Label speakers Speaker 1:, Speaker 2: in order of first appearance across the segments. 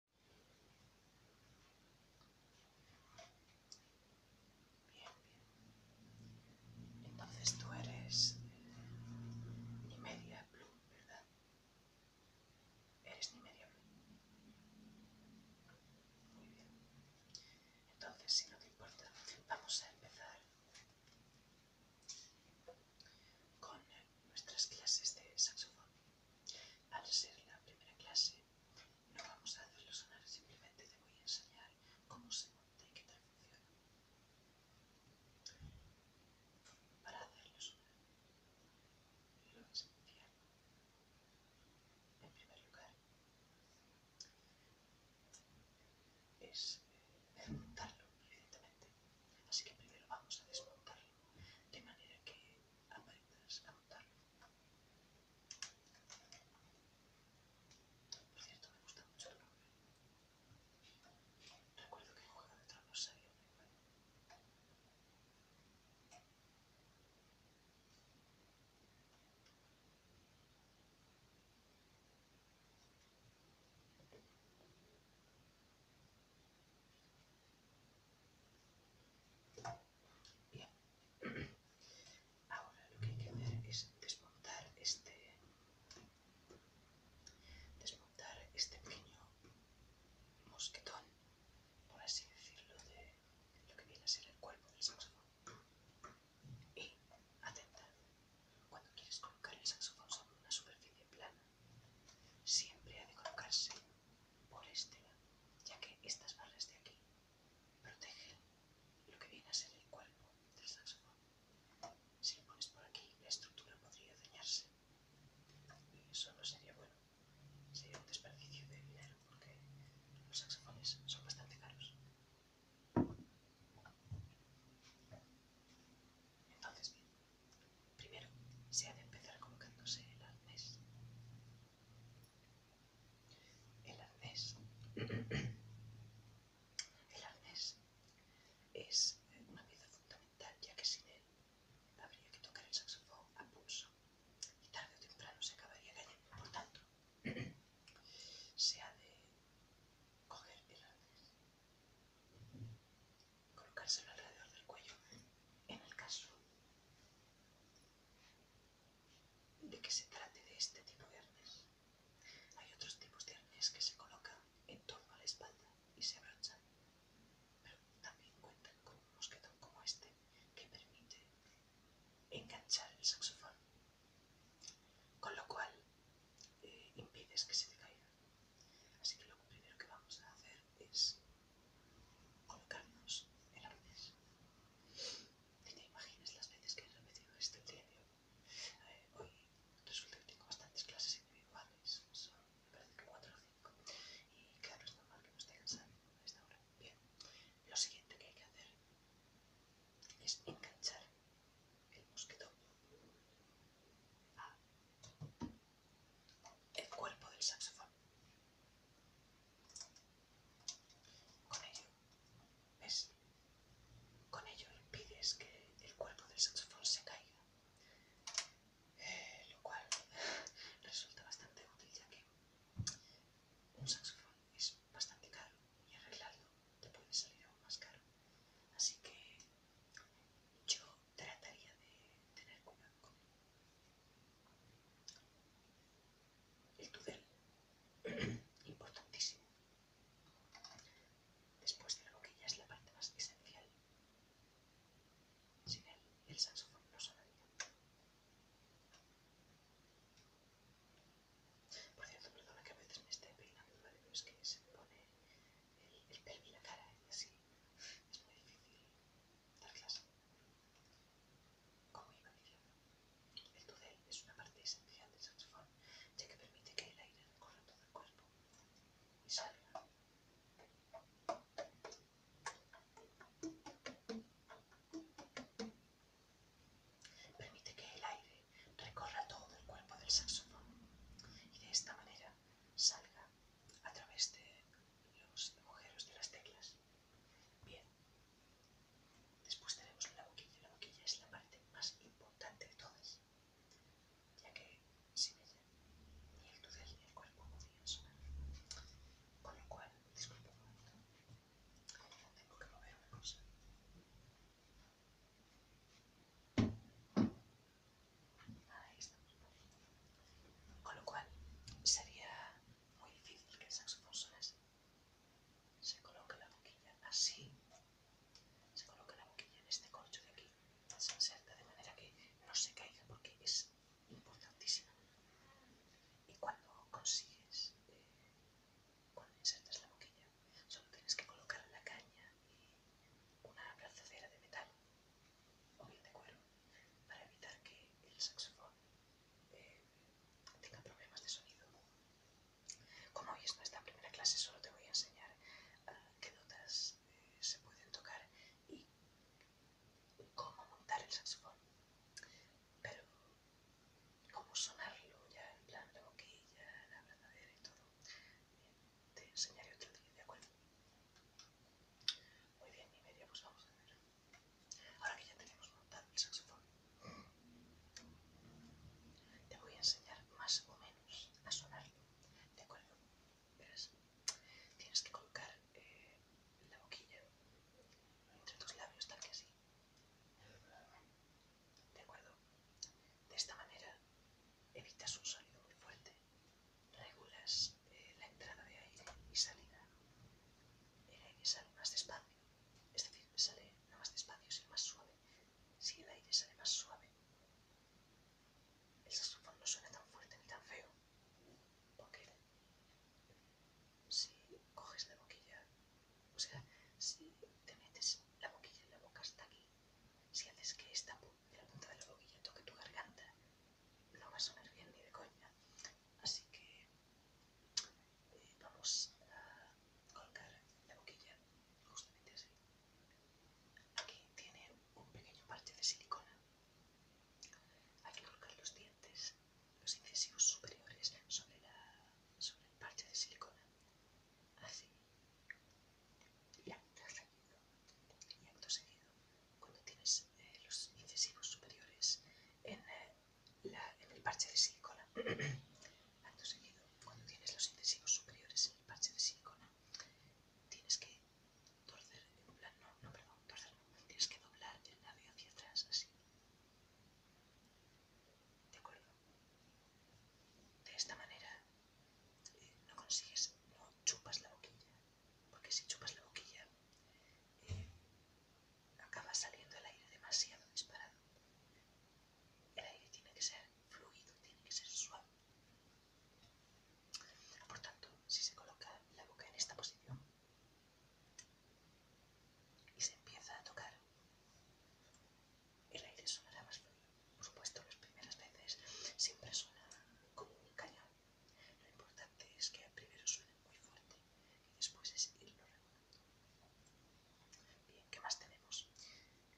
Speaker 1: Bien, bien. Entonces tú eres eh, ni media blue, ¿verdad? Eres ni media blue. Muy bien. Entonces, si no te importa, vamos a empezar con nuestras clases de saxofón. Al ser la primera clase, no vamos a hacerlo sonar, simplemente te voy a enseñar cómo se monta y qué tal funciona. Para hacerlo sonar, lo esencial, en primer lugar, es eh, montarlo, desmontarlo, evidentemente. Así que primero vamos a desmontarlo de manera que aprendas a montarlo. Por cierto, me gusta mucho el nombre. Recuerdo que en Juego de Tronos salió muy bueno. Bien. Ahora lo que hay que hacer es desmontar este desmontar este pequeño mosquetón, por así decirlo, de lo que viene a ser el cuerpo del saxofón. Y atenta, cuando quieres colocar el saxofón sobre una superficie plana, Siempre ha de colocarse por este lado, ya que estas barras de aquí protegen lo que viene a ser el cuerpo del saxofón. Si lo pones por aquí, la estructura podría dañarse. Y eso no sería bueno. Sería un desperdicio de dinero porque los saxofones son bastante caros. Entonces, bien, Primero, se ha de empezar colocándose el arnés. El arnés. el es una pieza fundamental, ya que sin él habría que tocar el saxofón a pulso y tarde o temprano se acabaría cayendo. Por tanto, se ha de coger el arnés colocárselo alrededor del cuello en el caso de que se trate de este tipo de arnés. Hay otros tipos de arnes que se colocan en torno a la espalda y se abrochan, pero también cuentan con un mosquetón como este que permite enganchar el saxofón, con lo cual eh, impides que se te caiga. Así que lo primero que vamos a hacer es colocarnos en la Y te imaginas las veces que he repetido esto el día de hoy. hoy resulta que tengo bastantes clases individuales, son me parece que 4 o 5. Y claro, es normal que no esté cansado a esta hora. Bien, lo siguiente que hay que hacer es enganchar el mosquito A. Ah. El cuerpo del saxofón. Con ello, ¿ves? Con ello impides que el cuerpo del saxofón se caiga. Eh, lo cual resulta bastante útil ya que un saxofón es bastante caro y arreglarlo te puede salir aún más caro. Así que yo trataría de tener cuidado con el tudel, importantísimo. Después de que ya es la parte más esencial. Sin él, el saxofón no sonaría. Por cierto, perdona que a veces me esté peinando, Pero es que se me pone el, pelo y la cara y ¿eh? así es muy difícil dar clase. Como iba diciendo, el tudel es una parte esencial del saxofón, ya que permite que el aire recorra todo el cuerpo y salga. Permite que el aire recorra todo el cuerpo del saxofón y de esta manera salga a través de los agujeros de las teclas. Bien, después tenemos la boquilla. La boquilla es la parte más importante de todas, ya que sin ella ni el tudel ni el cuerpo podrían sonar. Con lo cual, disculpa un momento, tengo que mover una cosa. Ahí Con lo cual sería muy difícil que el saxofón Se coloca la boquilla así. Se coloca la boquilla en este corcho de aquí. Se inserta de manera que no se caiga porque es importantísima. Y cuando consigues, eh, cuando insertas la boquilla Solo tienes que colocar la caña y una abrazadera de metal o bien de cuero para evitar que el saxofón eh, tenga problemas de sonido. Como hoy es nuestra primera clase, solo te voy a enseñar ah, qué notas eh, se pueden tocar y cómo montar el saxofón pero como sonarlo ya en plan la boquilla, la abrazadera y todo, bien, te enseñaré otro día, ¿de acuerdo? Muy bien, medio pues vamos a ver. Ahora que ya tenemos montado el saxofón, te voy a enseñar más o menos a sonarlo, ¿de acuerdo? Verás, tienes que colocar eh, la boquilla entre tus labios, tal que así. ¿De acuerdo? De esta manera evitas un sonido muy fuerte, regulas eh, la entrada de aire y salida. El aire sale más despacio, es decir, sale no más despacio, sino más suave. Si el aire sale más suave, el saxofón no suena tan fuerte ni tan feo, porque si coges la boquilla o sea, si te metes la boquilla en la boca hasta aquí, si haces que esta la punta de la boquilla toque tu garganta, no va a sonar bien ni de coña. Así que eh, vamos a colocar la boquilla justamente así. Aquí tiene un pequeño parche de silicona. Hay que colocar los dientes los incisivos superiores sobre, la, sobre el parche de silicona. Así. y acto seguido. Y acto seguido, cuando tienes eh, los incisivos superiores en, eh, la, en el parche de silicona, acto seguido, cuando tienes los incisivos superiores en el parche de silicona, tienes que torcer, no, perdón, tienes que doblar el labio hacia atrás, así. ¿De esta manera eh, no consigues, no chupas la boquilla, porque si chupas la boquilla eh, acaba saliendo el aire demasiado disparado. El aire tiene que ser fluido, tiene que ser suave. Por tanto, si se coloca la boca en esta posición, y se empieza a tocar. El aire sonará más fluido. Por supuesto, las primeras veces siempre suena como un cañón. Lo importante es que primero suene muy fuerte y después es irlo regulando. Bien, ¿qué más tenemos?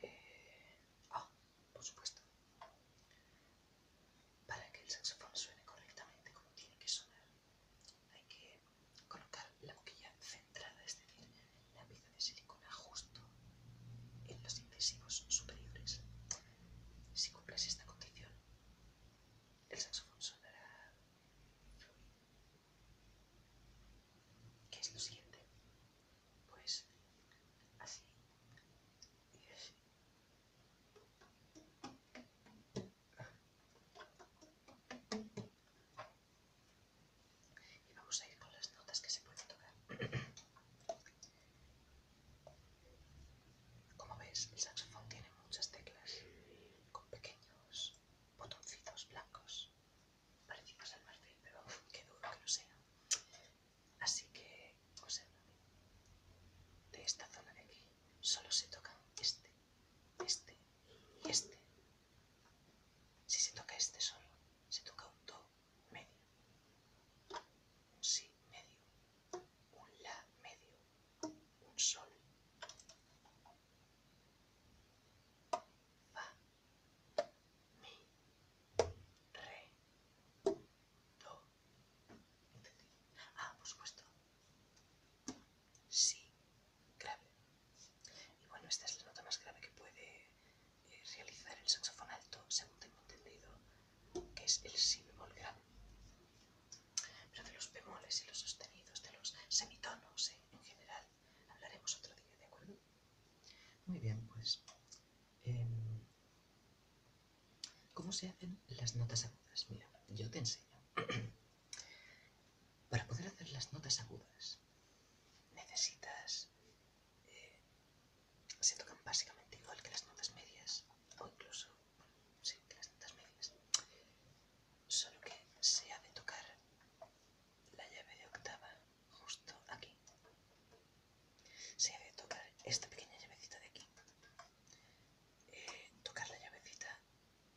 Speaker 1: Eh, ah, por supuesto. Para que el saxofón suene correctamente como tiene que sonar, hay que colocar la boquilla centrada, es decir, la pieza de silicona justo en los incisivos superiores. Si cumples esta condición, el saxofón sonará fluido. ¿Qué es lo siguiente? Pues así. Y así. Y vamos a ir con las notas que se pueden tocar. Como ves, el saxofón tiene muchas teclas con pequeños botoncitos blancos parecidos al marfil, pero qué duro que no sea. Así que os pues, hablado de esta zona de aquí solo se toca este, este y este. Si se toca este solo, se toca un do medio, un si medio, un la medio, un sol, fa, mi, re, Do, entendido. Ah, por supuesto. Sí, grave. Y bueno, esta es la nota más grave que puede eh, realizar el saxofón alto, según tengo entendido, que es el si bemol grave. Pero de los bemoles y los sostenidos, de los semitonos eh, en general, hablaremos otro día, ¿de acuerdo? Muy bien, pues em, ¿Cómo se hacen las notas agudas? Mira, yo te enseño. Para poder hacer las notas agudas necesitas... Eh, se tocan básicamente igual que las notas medias, o incluso... sí, que las notas medias. Solo que se ha de tocar la llave de octava justo aquí. Se ha de tocar esta pequeña llavecita de aquí. Eh, tocar la llavecita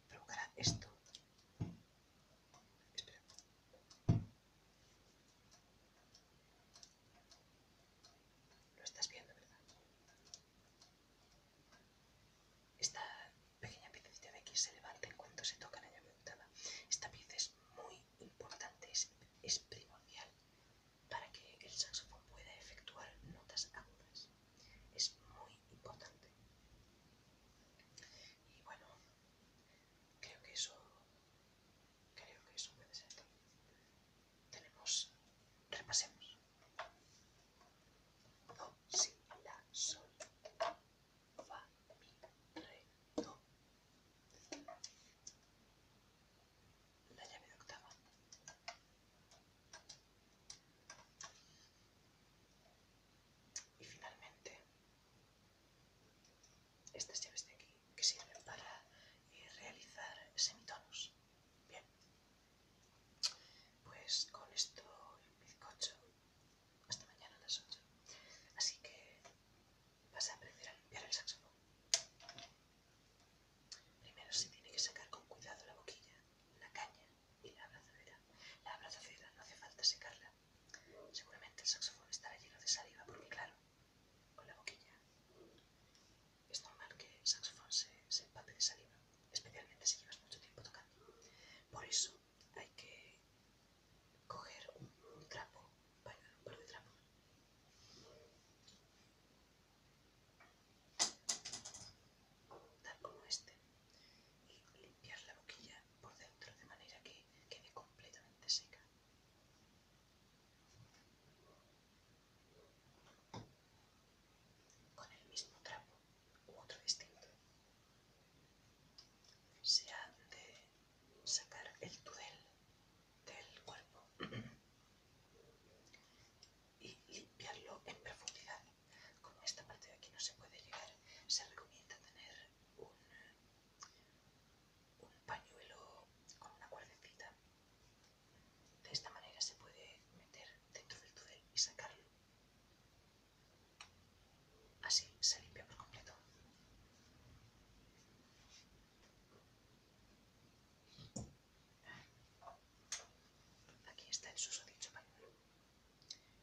Speaker 1: provocará esto. Espera. Lo estás viendo, ¿verdad? Esta pequeña pieza de aquí se levanta en cuanto se toca la llave untada. Esta pieza es muy importante, es primordial para que el saxofón pueda efectuar notas agudas. Es muy importante. Y bueno, creo que eso, creo que eso puede ser Tenemos, repasemos. Do, si, la, sol, fa, mi, re, do la llave de octava. Y finalmente, estas llaves de aquí que sirven para eh, realizar semitonos. Bien, pues con esto el bizcocho hasta mañana a las 8. Así que Vas a aprender a limpiar el saxofón. Primero se tiene que sacar con cuidado la boquilla, la caña y la abrazadera. La abrazadera no hace falta secarla. Seguramente el saxofón estará lleno de saliva porque, claro, con la boquilla es normal que el saxofón se, empape de saliva, especialmente si llevas mucho tiempo tocando. Por eso hay que coger un trapo por un par de trapos. Tal como este. Y limpiar la boquilla por dentro de manera que quede completamente seca. Con el mismo trapo u otro distinto. Se ha de sacar el tudel del cuerpo y limpiarlo en profundidad. Como esta parte de aquí no se puede llegar, se recomienda tener un, pañuelo con una cuerdecita. De esta manera se puede meter dentro del túnel y sacarlo. Así se limpia por completo. Aquí está el susodicho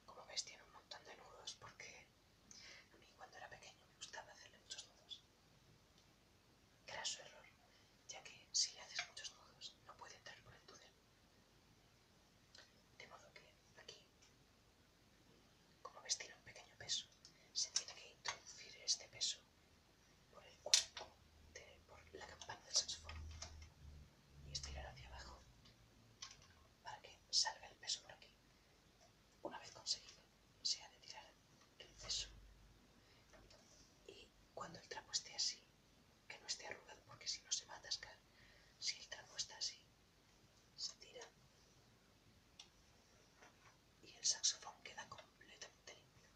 Speaker 1: Como veis tiene un montón de nudos porque a mí cuando era pequeño me gustaba hacerle muchos nudos. era su error, ya que si le haces muchos nudos no puede entrar por el túnel. De modo que aquí como vestir un pequeño peso, se tiene que introducir este peso por el cuerpo, de, por la campana del saxofón y estirar hacia abajo para que salga el peso por aquí. Una vez conseguido, se ha de tirar el peso y cuando el trapo esté así, que no esté arrugado porque si no se va a atascar, si el trapo está así, se tira y el saxofón queda completamente limpio.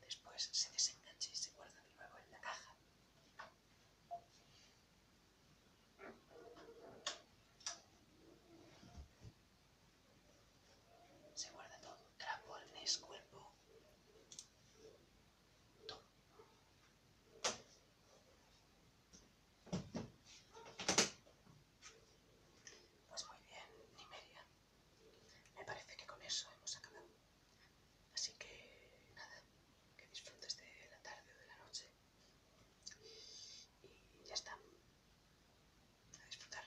Speaker 1: Después se desengancha y se guarda de nuevo en la caja. Se guarda todo, trapo, cuerpo. Pues muy bien, Nimeria. Me parece que con eso hemos acabado. Así que nada, que disfrutes de la tarde o de la noche. Y ya está. A disfrutar.